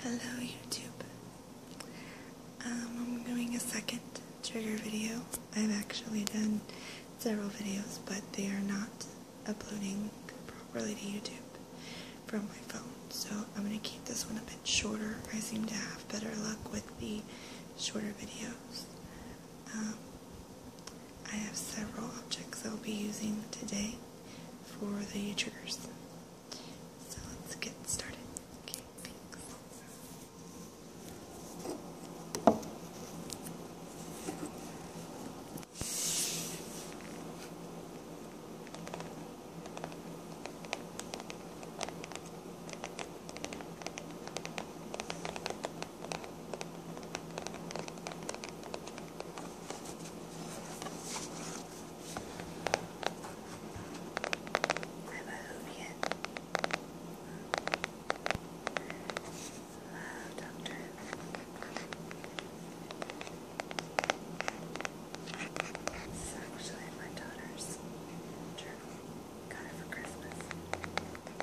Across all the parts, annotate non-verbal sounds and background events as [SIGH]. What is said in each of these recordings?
Hello YouTube. Um, I'm doing a second trigger video. I've actually done several videos, but they are not uploading properly to YouTube from my phone. So I'm going to keep this one a bit shorter. I seem to have better luck with the shorter videos. Um, I have several objects I'll be using today for the triggers. So let's get started. Okay, I'm a Hoovian. Wow, Doctor. This is actually my daughter's journal. Got it for Christmas. Wow.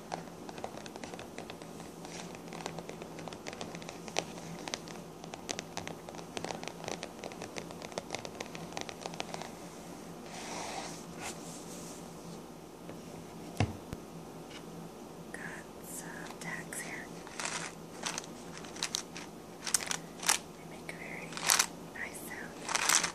Got some tacks here. They make a very nice sound.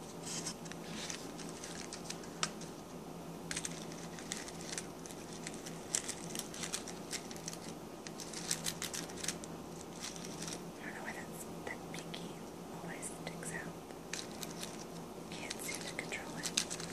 I don't know why that's, that pinky always sticks out. Can't seem to control it. [LAUGHS]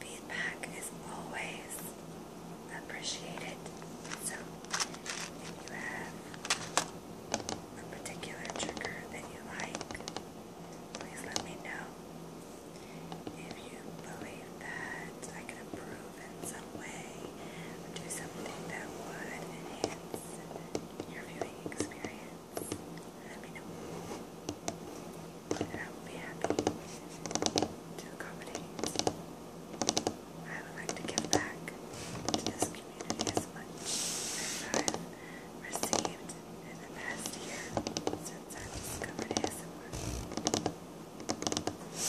Feedback is always appreciated. So if you have a particular trigger that you like, please let me know. If you believe that I can improve in some way or do something that would enhance your viewing experience, let me I will be happy to accommodate. I would like to give back community as much I've received in the past year since I've discovered ASMR. First.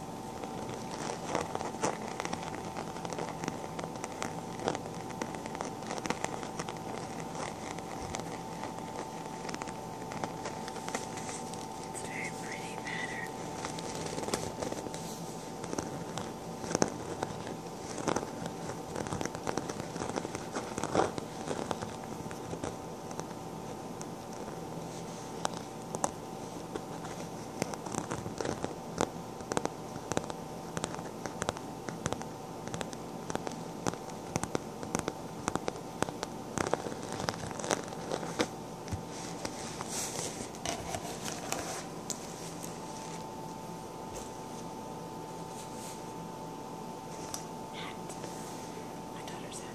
It's a very pretty pattern. My daughter's hat.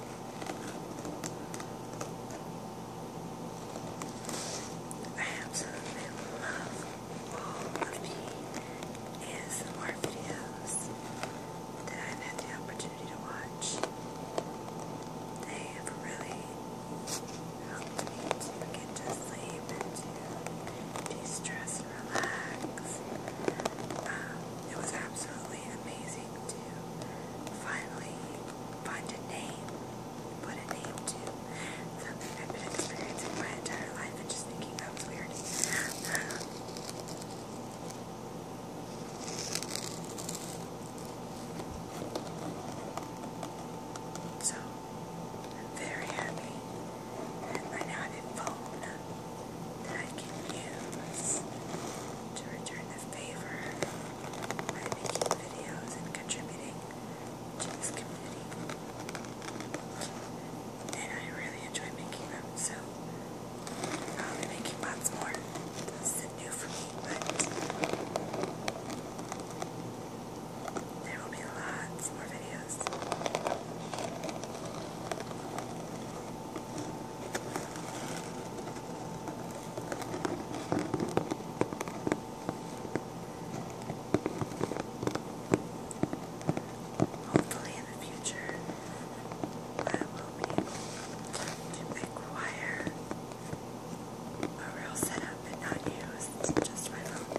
absolutely love all of the ASMR videos that I've had the opportunity to watch. They have really helped me to get to sleep and to de-stress and relax. Um, it was absolutely amazing to finally find a name, put a name to something I've been experiencing my entire life and just thinking that was weird. [LAUGHS] so, I'm very happy that I now have a phone that I can use to return favor by making videos and contributing to this community. And I really enjoy making them, so I'll be making lots more. This is new for me, but there will be lots more videos. Hopefully, in the future, I will be able to pick a real setup and not use just my phone.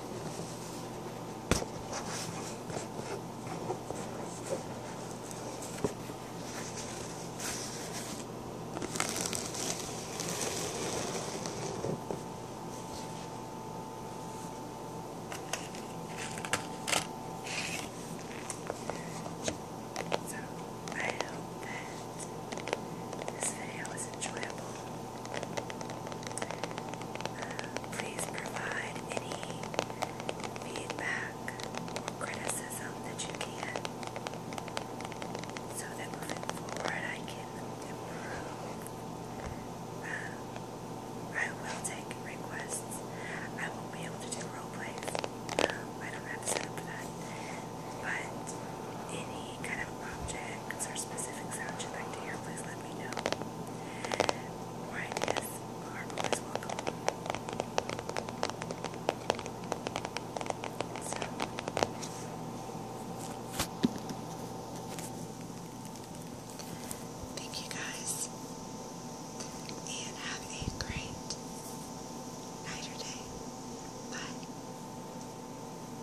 So I hope that this video was enjoyable. Please provide any feedback criticism that you can so that moving I can improve. Um, I will take requests. I won't be able to do role plays. Um, I don't have that. But any kind of object tricks there's specific sounds you'd like to hear, please let me know. More ideas are always welcome. So. Thank you guys, and have a great night or day. Bye.